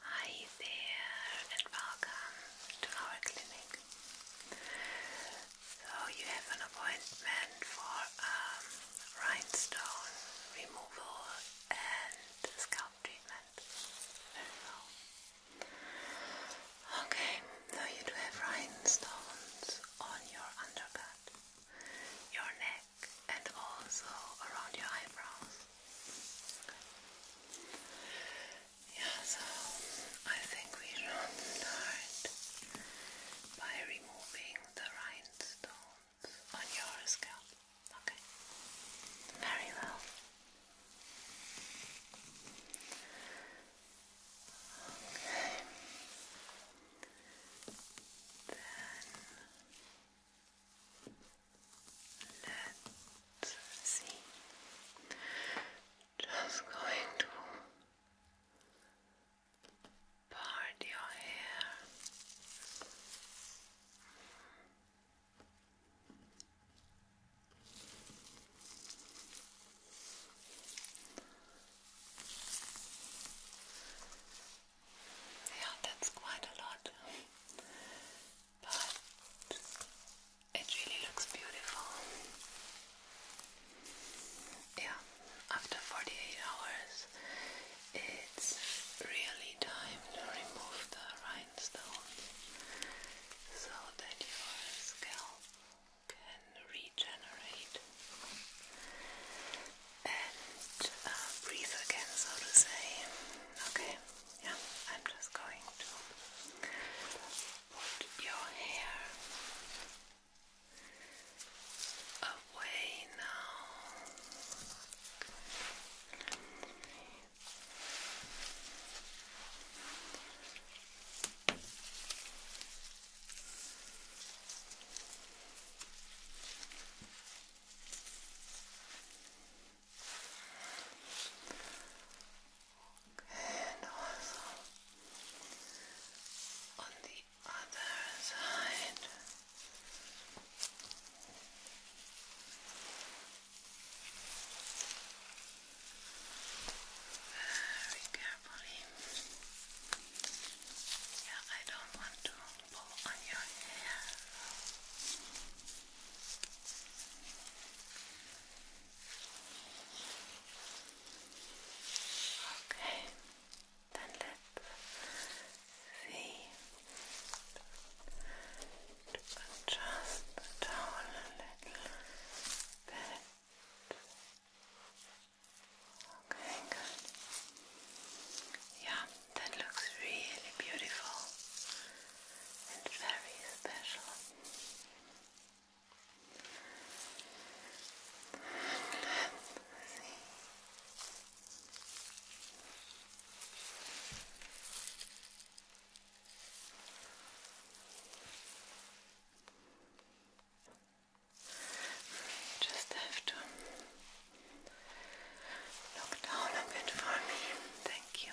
Hi there and welcome to our clinic. So you have an appointment for um, rhinestone removal and scalp treatment. Okay, so you do have rhinestones on your undercut, your neck and also around your eyebrows. Yeah, so I think we should start by removing the rhinestones on your scalp. Okay. Very well. Then Let's see. Just going to part your hair. Yeah, that's quite a lot but it really looks beautiful. Yeah, after 48 hours, it's really time to remove the rhinestones so that your scalp can regenerate and uh, breathe again, so to say. Okay. Yeah, I'm just going to put your hair away now. And also on the other side. Very carefully. Yeah, I don't want to pull on your hair. Okay, then let's see. Adjust the towel a little bit. Okay, good. Yeah, that looks really beautiful and very special. Let's see. Just have Look down a bit for me. Thank you.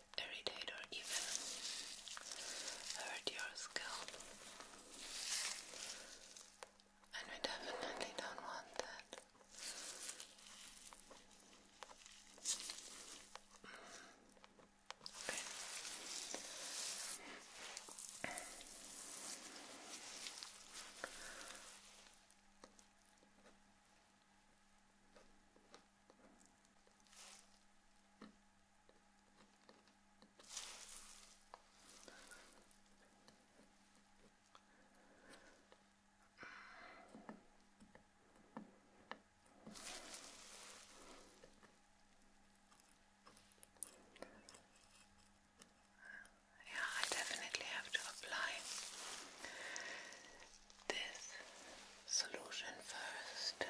irritate or even hurt your scalp. And we definitely don't want that. Mm. Yeah, I definitely have to apply this solution first.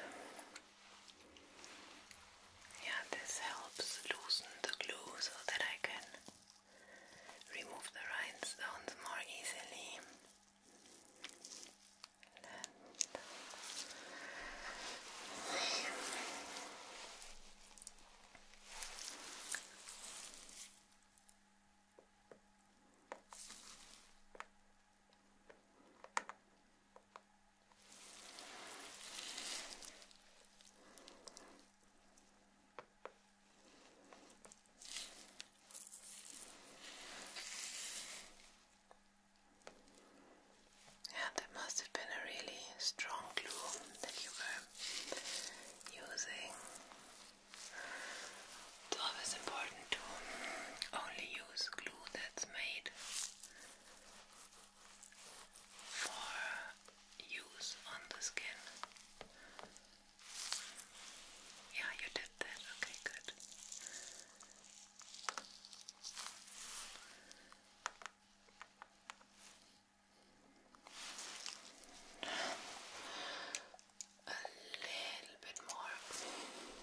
Yeah, this helps loosen the glue so that I can remove the rhinestones more easily. Yeah, that must have been a really strong glue that you were using. It's always important to only use glue that's made for use on the skin. Yeah, you did that. Okay, good. A little bit more.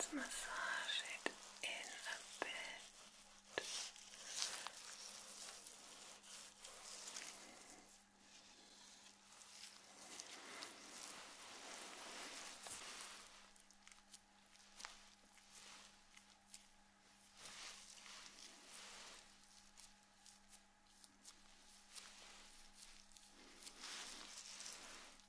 It's let massage it in a bit.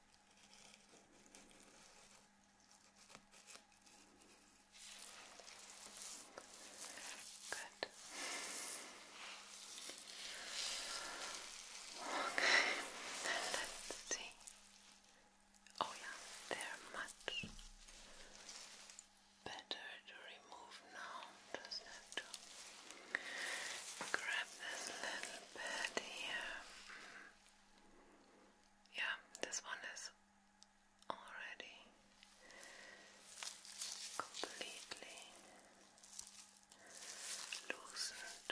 Good. Okay, let's see. Oh, yeah, they're much better to remove now to grab this little bit here. Yeah, this one is already completely loosened.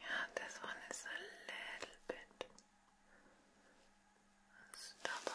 Yeah, this one is a little bit stubborn.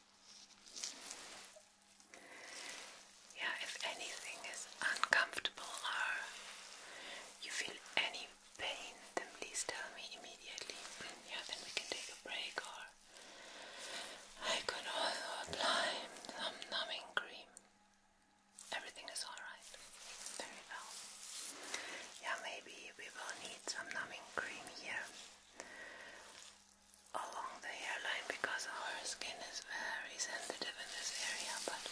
Yeah, if anything is uncomfortable or you feel any pain, then please tell me immediately. Yeah, then we can take a break or I can also apply some numbing cream. Everything is alright. Very well. Yeah, maybe we will need some numbing cream here along the hairline because our skin is very sensitive in this area, but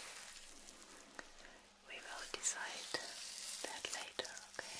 we will decide that later, okay?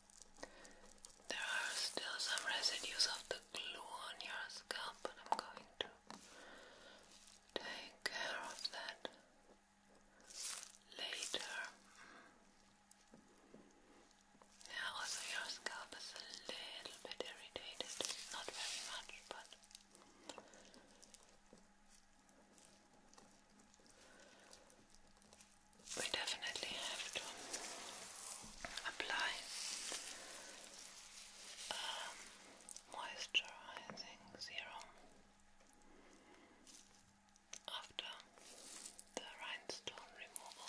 There are still some residues of the glue on your scalp, and I'm going to take care of that later. Yeah, also your scalp is a little bit irritated, not very much, but we definitely have to apply um, moisturizing serum after the rhinestone removal.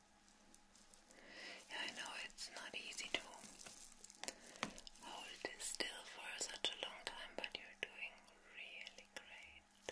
Yeah, I know it's not easy to hold still for such a long time, but you're doing really great.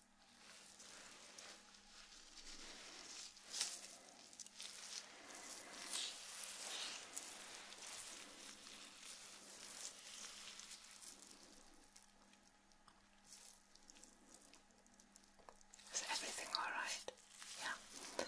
Is everything all right? Yeah. Good.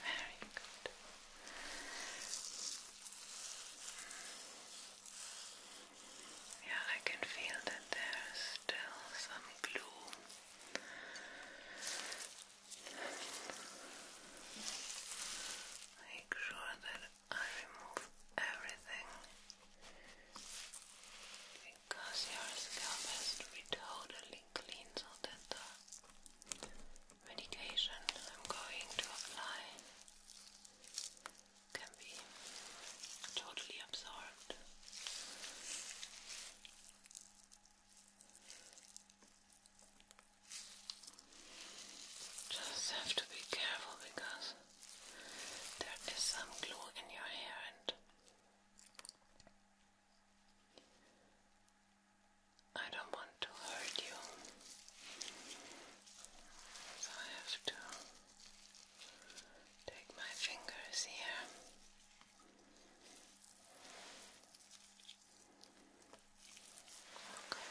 Very good. Yeah, I can feel that there's still some glue. Make sure that I remove everything because your scalp has to be totally clean so that the medication I'm going to apply can be totally absorbed. Just have to be careful because there is some glue in your hair and I don't want to hurt you, so I have to take my fingers here. Okay.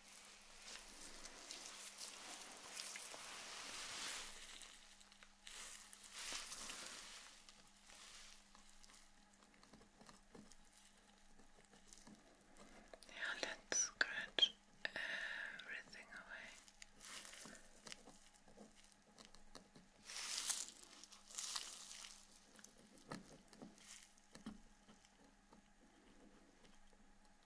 Now let's scratch everything away.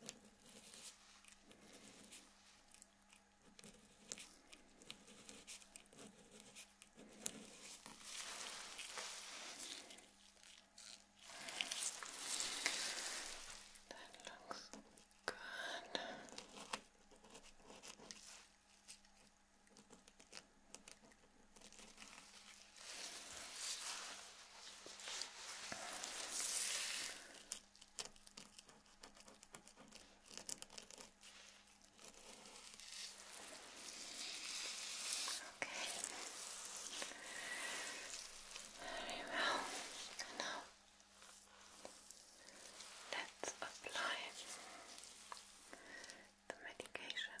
That looks good. Okay. Very well. Now let's apply the medication.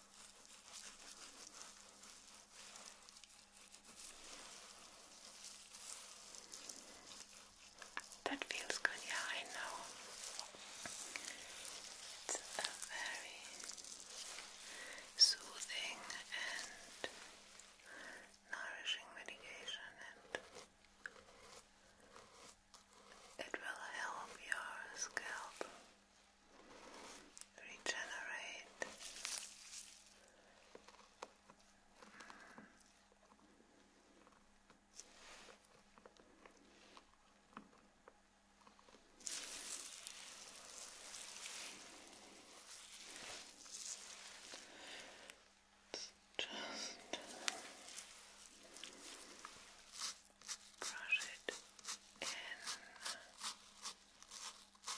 That feels good, yeah, I know. It's a very soothing and nourishing medication, and it will help your scalp regenerate. just brush it in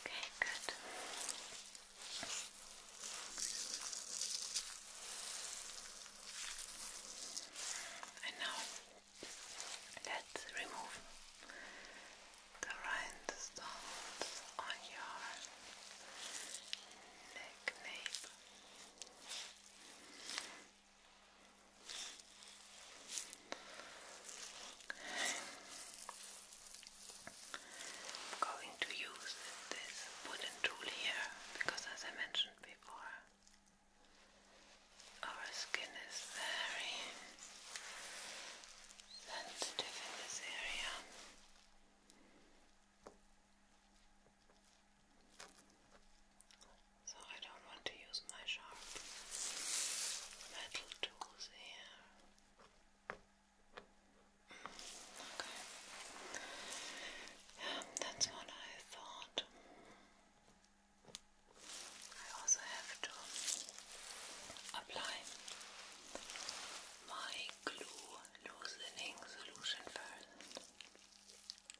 Okay, good. And now let's remove the rhinestones on your neck nape. I'm going to use this wooden tool here because, as I mentioned before, our skin is very sensitive in this area. So I don't want to use my sharp metal tools here. okay. that's what I thought. I also have to apply my glue loosening solution first.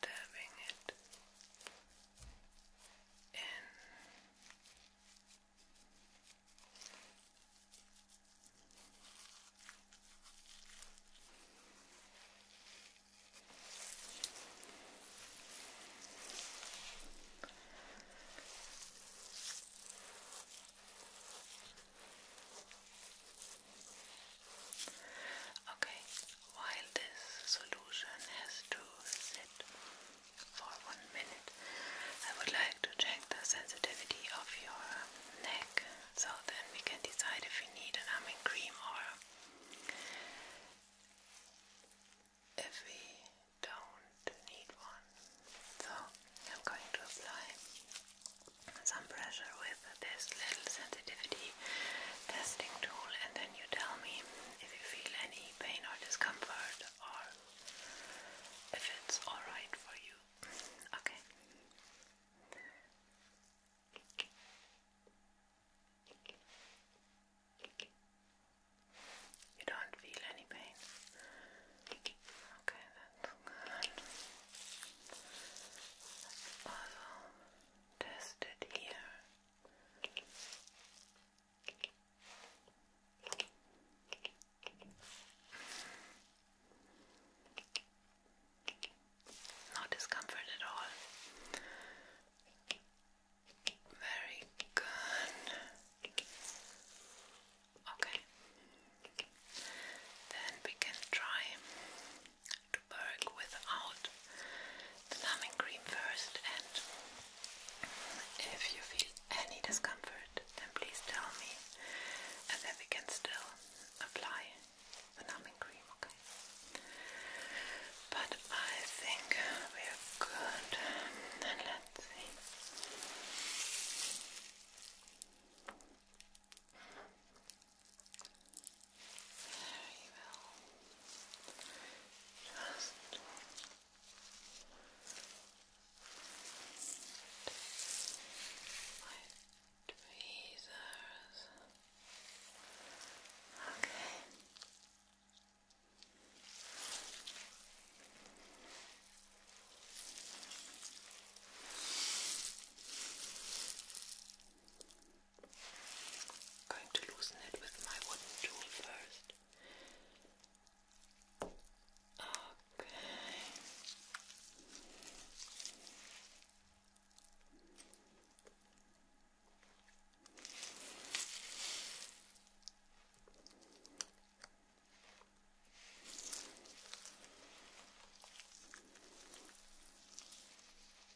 dabbing it in. Okay, while this solution has to sit for one minute, I would like to check the sensitivity of your neck so then we can decide if we need an numbing cream or if we don't need one. So I'm going to apply some pressure with this little sensitivity testing tool, and then you tell me if you feel any pain or discomfort or if it's alright for you. Okay. You don't feel any pain? Okay, that's good. That's awesome. Tested here. No discomfort at all. Very good. Okay. Then we can try work without the numbing cream first and if you feel any discomfort then please tell me and then we can still apply the numbing cream, okay? But I think we're good and let's see. There you Just my tweezers. Okay. I'm going to loosen it with my wooden tool first. Okay.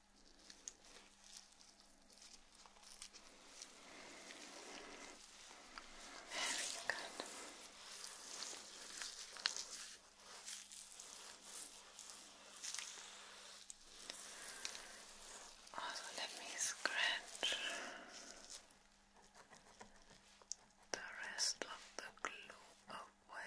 Very good. let me scratch the rest of the glue away.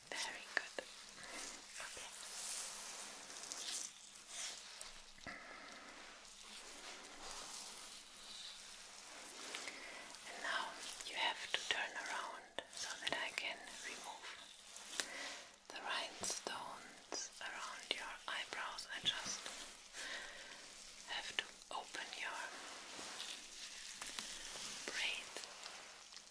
Very good. Okay. now you have to turn around so that I can remove the rhinestones around your eyebrows. I just have to open your braid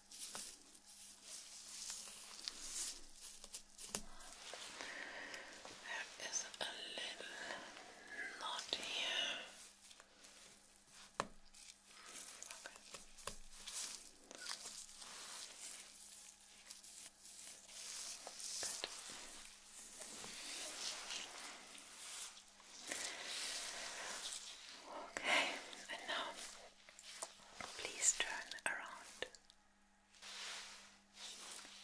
There is a little knot here. Okay. Good. Please turn around.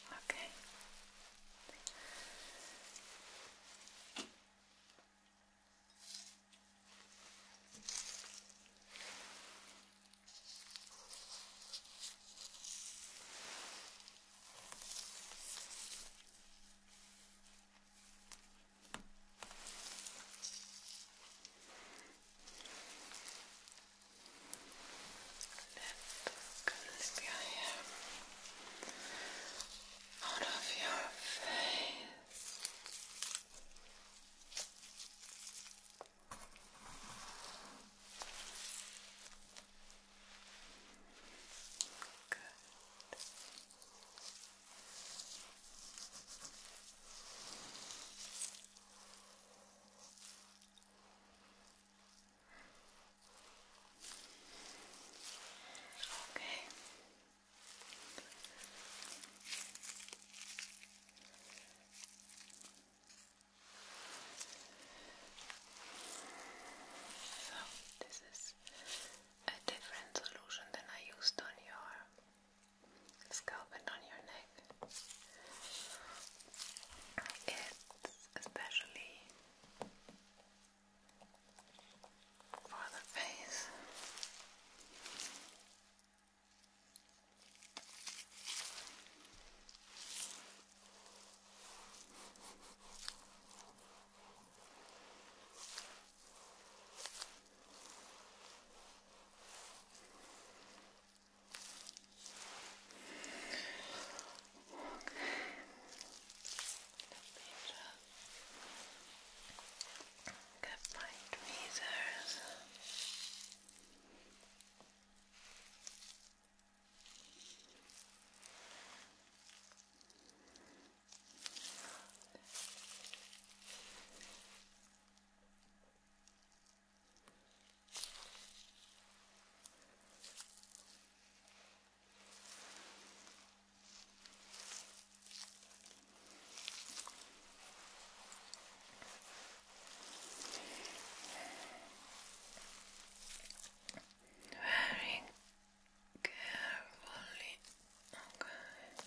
Okay. Let's hair out of your face. Good. Okay. So, this is a different solution than I used on your scalp and on your neck. It's especially for the face just get my tweezers. Okay. Very carefully, okay.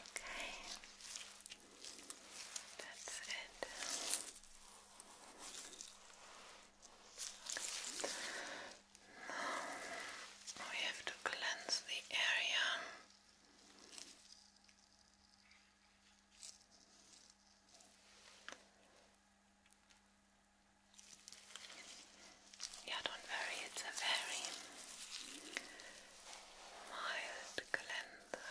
Okay, that's it. Okay. We have to cleanse the area. Yeah, don't worry, it's a very mild cleanser.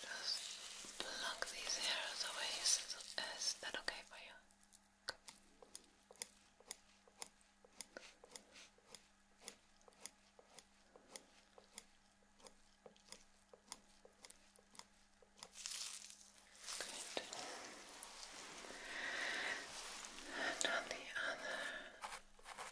Just pluck these hairs away. Is that okay for you? Good. And on the other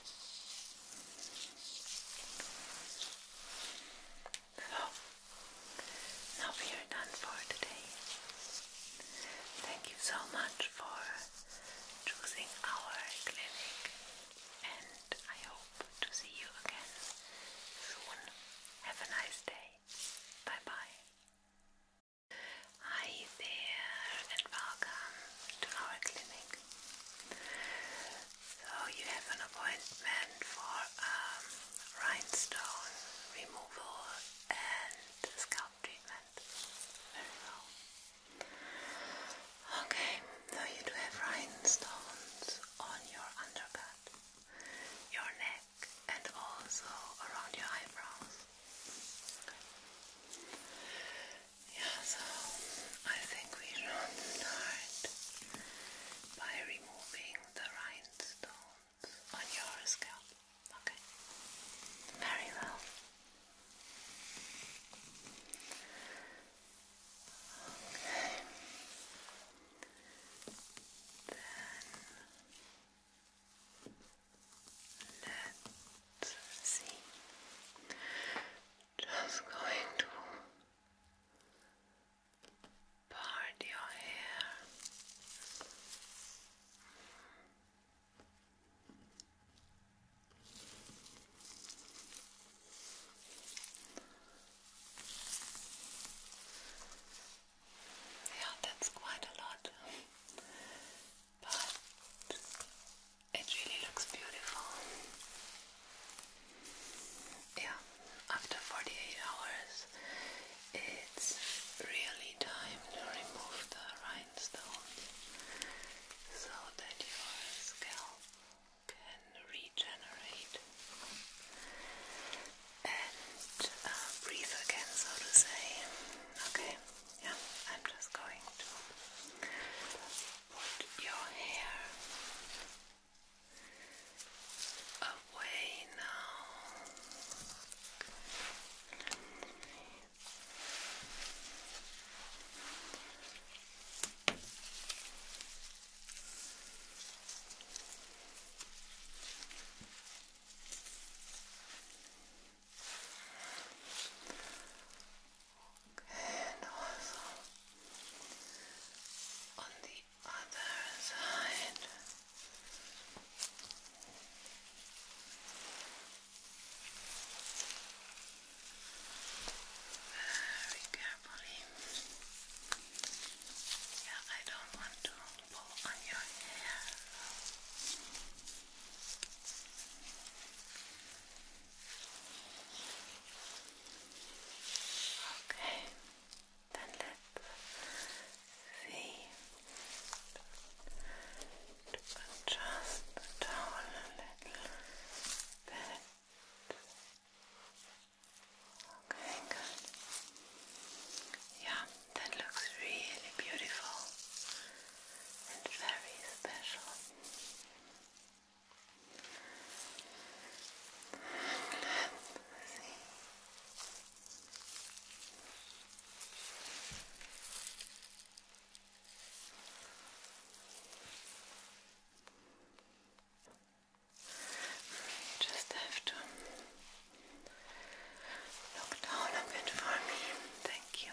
So, now we are done for today. Thank you so much for choosing our clinic, and I hope to see you again soon. Have a nice day. Bye bye. Hi there, and welcome to our clinic. So you have an appointment for um, rhinestone removal and scalp treatment. Very well. Okay, so you do have rhinestones on your undercut, your neck, and also around your eyebrows. Yeah, so I think we should start by removing the rhinestones on your scalp. Okay. Very well. Okay. Then let's see. Just going to part your hair. Yeah, that's quite a lot, but it really looks beautiful. Yeah, after 48 hours, it's really time to remove the rhinestones so that your scalp can regenerate and uh, breathe again, so to say. Okay, yeah, I'm just going to put your hair away now and also on the other side. Very carefully. Yeah, I don't want to pull on your hair. Okay, then let's see. Adjust a little bit. Okay, Yeah, that looks really beautiful and very special just have to look down a bit for me. Thank you.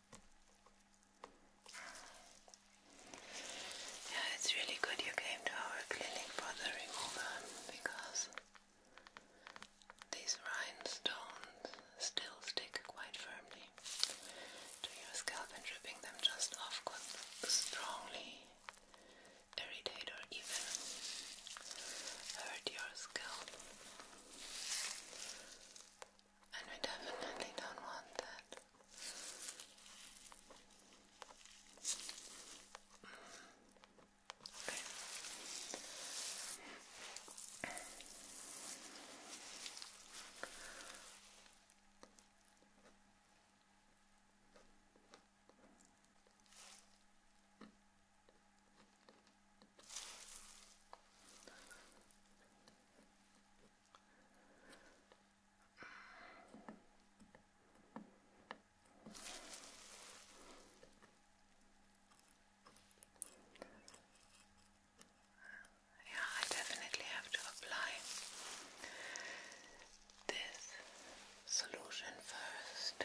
Yeah, it's really good you came to our clinic for the removal because these rhinestones still stick quite firmly to your scalp, and ripping them just off could strongly irritate or even hurt your scalp and we definitely don't want that. Yeah, I definitely have to apply this solution first.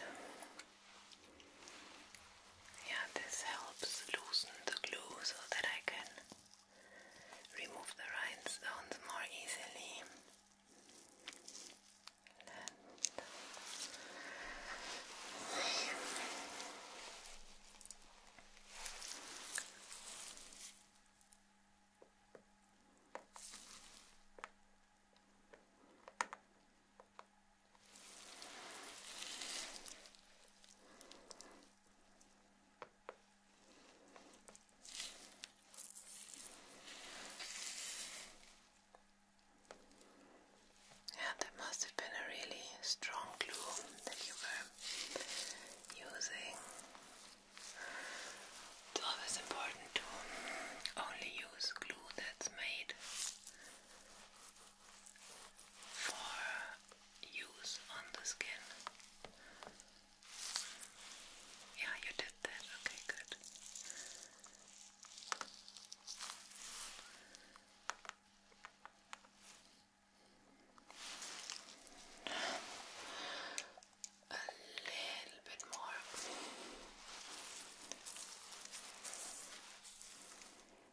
Yeah, this helps loosen the glue so that I can remove the rhinestones more easily. Yeah, that must have been a really strong glue that you were using. It's always important to only use glue that's made for use on the skin. Yeah, you did that. Okay, good. A little bit more.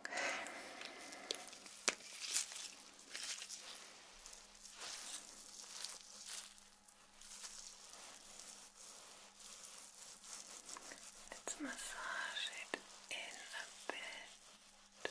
Okay. Let's massage it in a bit.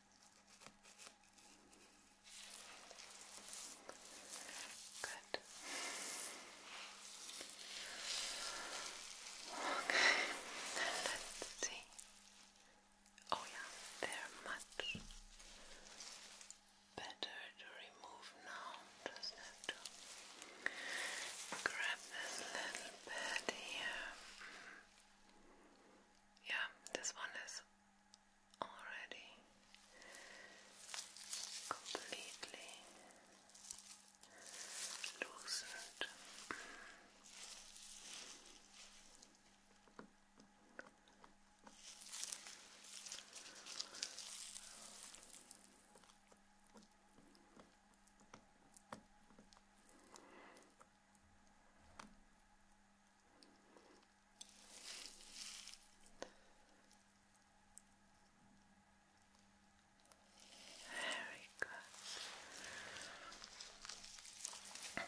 Good. Okay, let's see. Oh, yeah, they're much better to remove now. Just have to grab this little bit here. Mm-hmm. Yeah, this one is already completely loosened. Very good. Very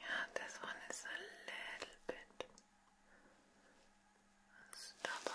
Yeah, this one is a little bit stubborn.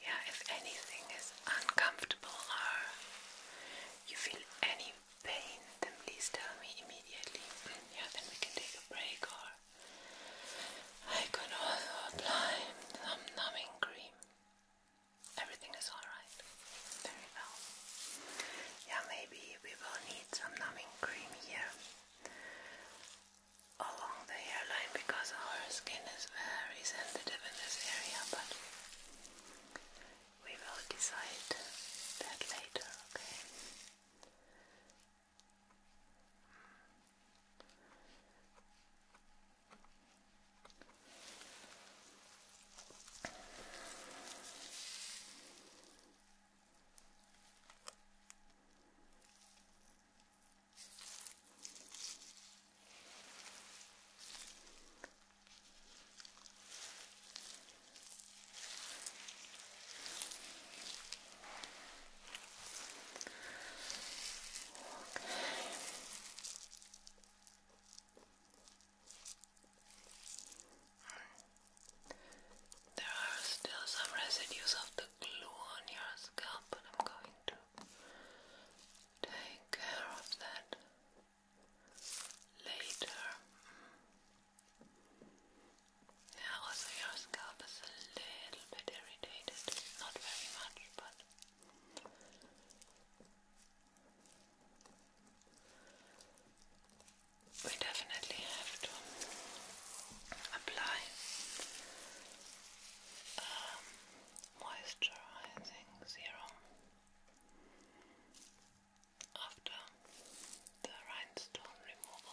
Yeah, if anything is uncomfortable or you feel any pain, then please tell me immediately. Yeah, then we can take a break or I can also apply some numbing cream. Everything is alright. Very well. Yeah, maybe we will need some numbing cream here along the hairline because our skin it's very sensitive in this area, but we will decide that later, Okay. There are still some residues of the glue on your scalp, but I'm going to take care of that later. also your scalp is a little bit irritated, not very much, but we definitely have to apply um, moisturizing serum after the rhinestone removal.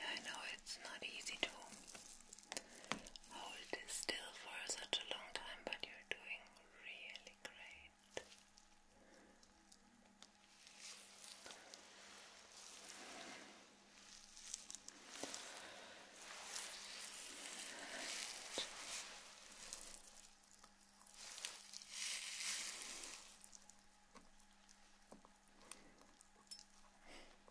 Yeah, I know it's not easy to Hold oh, it still for such a long time, but you're doing really great. And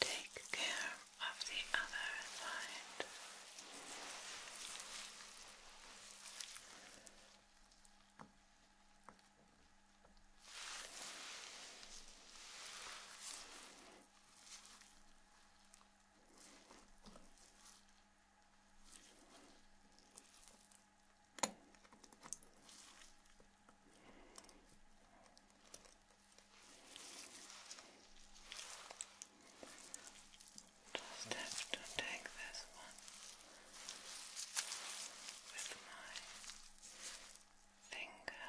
Take care of the other side. Just have to take this one with my fingers.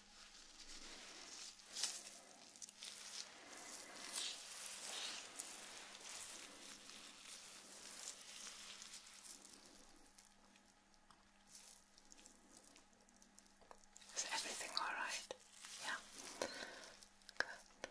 Is everything all right? Yeah. Good.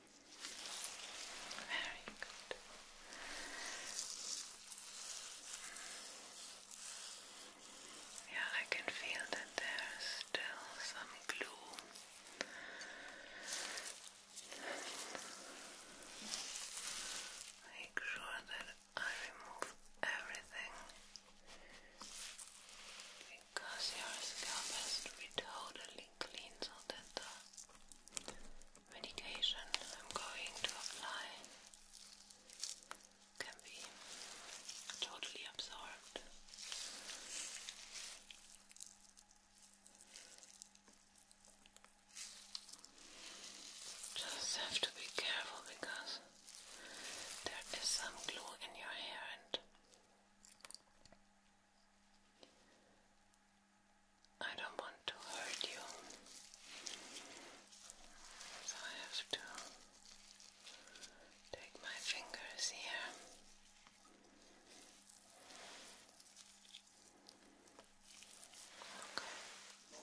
Very good. Yeah, I can feel that there's still some glue. Make sure that I remove everything because your scalp has to be totally clean so that the uh, medication I'm going to apply can be totally absorbed. Just have to be careful because there is some glue in your hair and I don't want to hurt you, so I have to take my fingers here. Okay.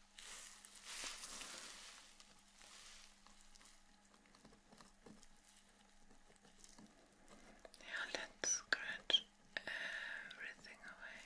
Now let's scratch everything away.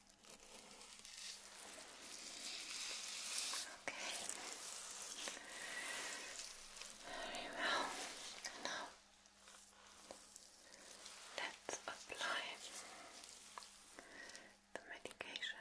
Okay. Very well. Now let's apply the medication.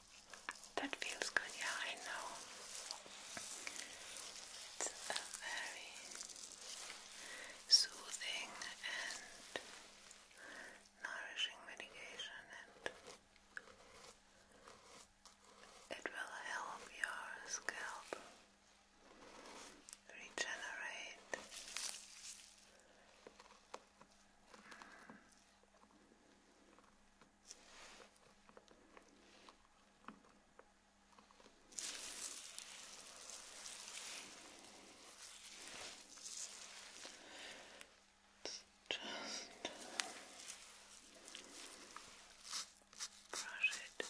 That feels good, yeah, I know. It's a very soothing and nourishing medication, and it will help your scalp regenerate it's just brush it in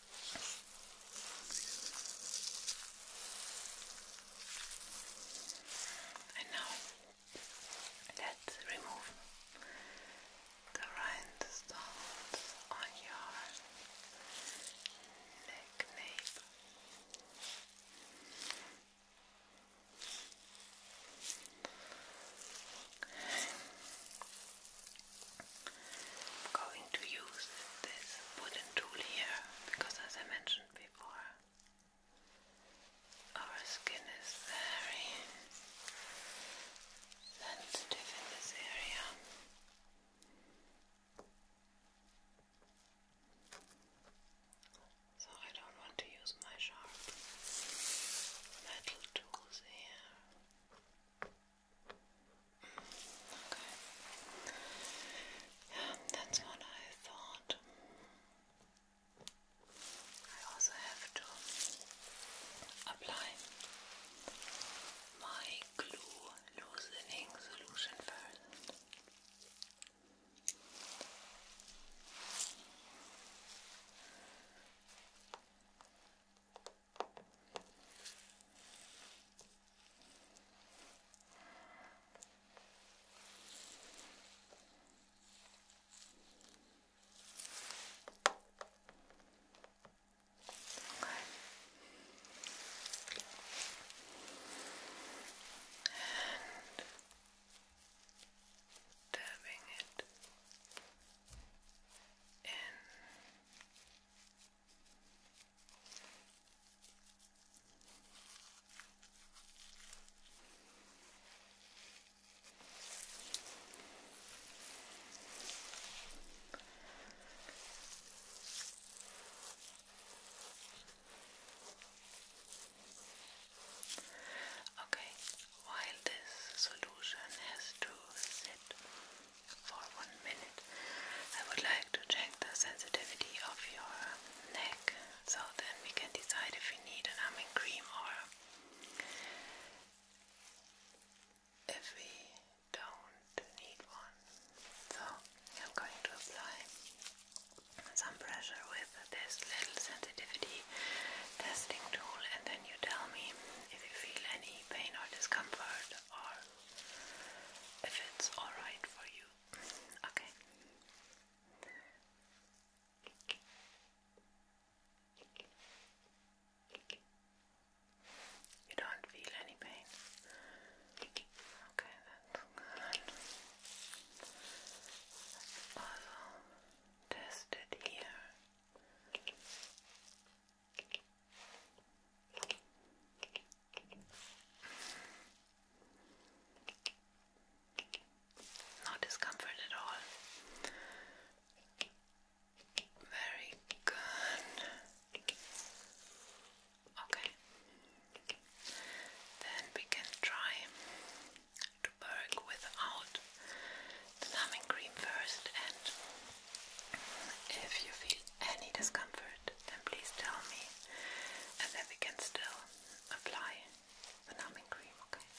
And now let's remove the rhinestones on your neck nape. I'm going to use this wooden tool here because, as I mentioned before, our skin is very sensitive in this area. So, I don't want to use my sharp metal tools here. Okay. Yeah, that's what I thought. I also have to apply my glue loosening solution first dabbing it in Okay, while this solution has to sit for one minute. I would like to check the sensitivity of your neck so then we can decide if we need an numbing cream or if we don't need one. So I'm going to apply some pressure with this little sensitivity testing tool and then you tell me if you feel any pain or discomfort or if it's alright for you. Okay. You don't feel any pain? Okay, that's good. also uh, test here. No discomfort at all. Very good. Okay. Then we can try to work without the numbing cream first and if you feel any discomfort then please tell me and then we can still apply the numbing cream, okay?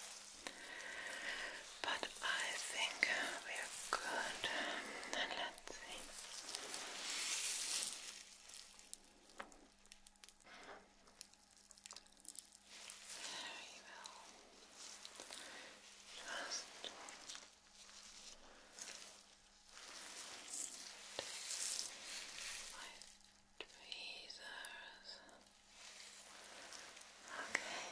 But I think we're good and let's see. Very well. Just my tweezers. Okay.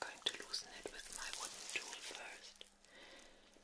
going to loosen it with my wooden tool first.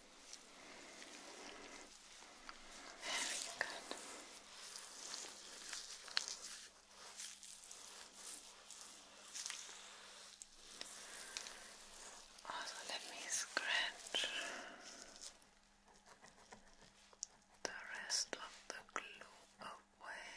Very good. Also, let me scratch the rest of the glue away.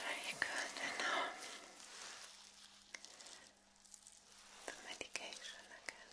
Very good. now the medication again.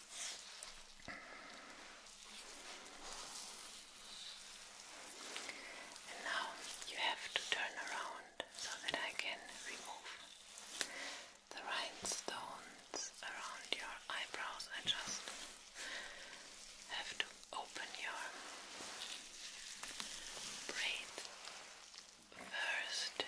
And now you have to turn around so that I can remove the rhinestones around your eyebrows. I just have to open your braid first.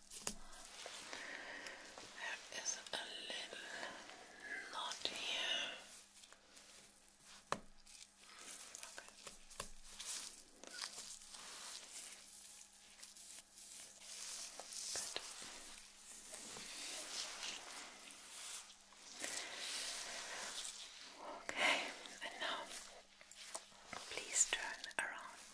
There is a little knot here. Okay. and now please turn around.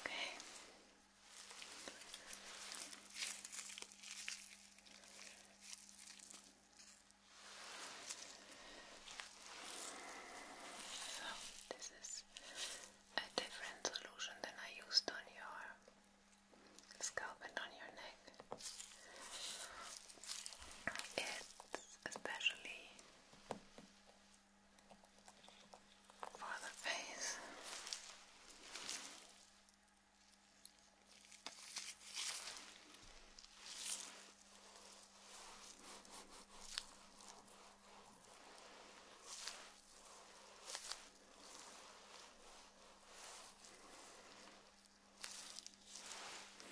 Okay. So this is a different solution than I used on your scalp and on your neck. It especially for the face just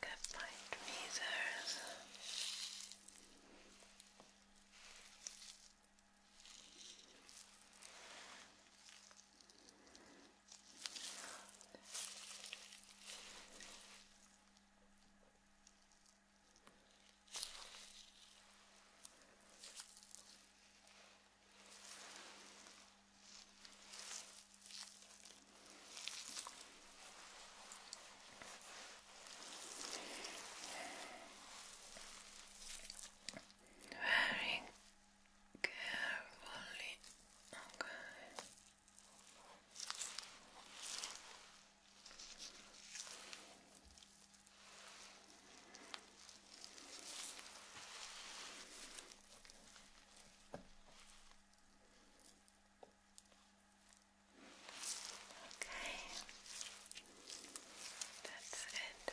get my tweezers. Okay. Very carefully, okay. Okay, that's it.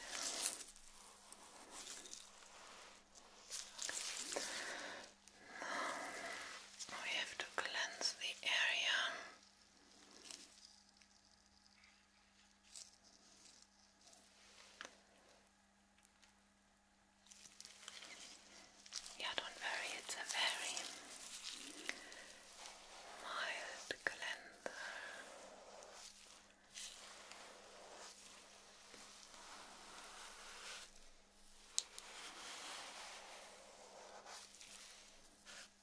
we have to cleanse the area. Yeah, don't worry, it's a very mild calendar.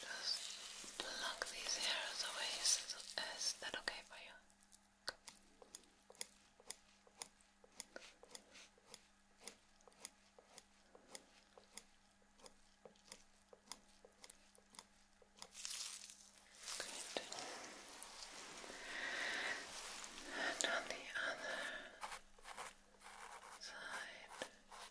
Just pluck these hairs away. Is, that okay for you? And on the other side.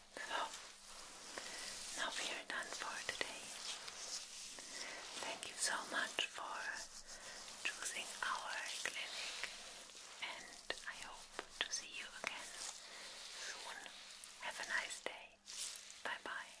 So, now we are done for today. Thank you so much for choosing our clinic, and I hope to see you again soon. Have a nice day. Bye bye.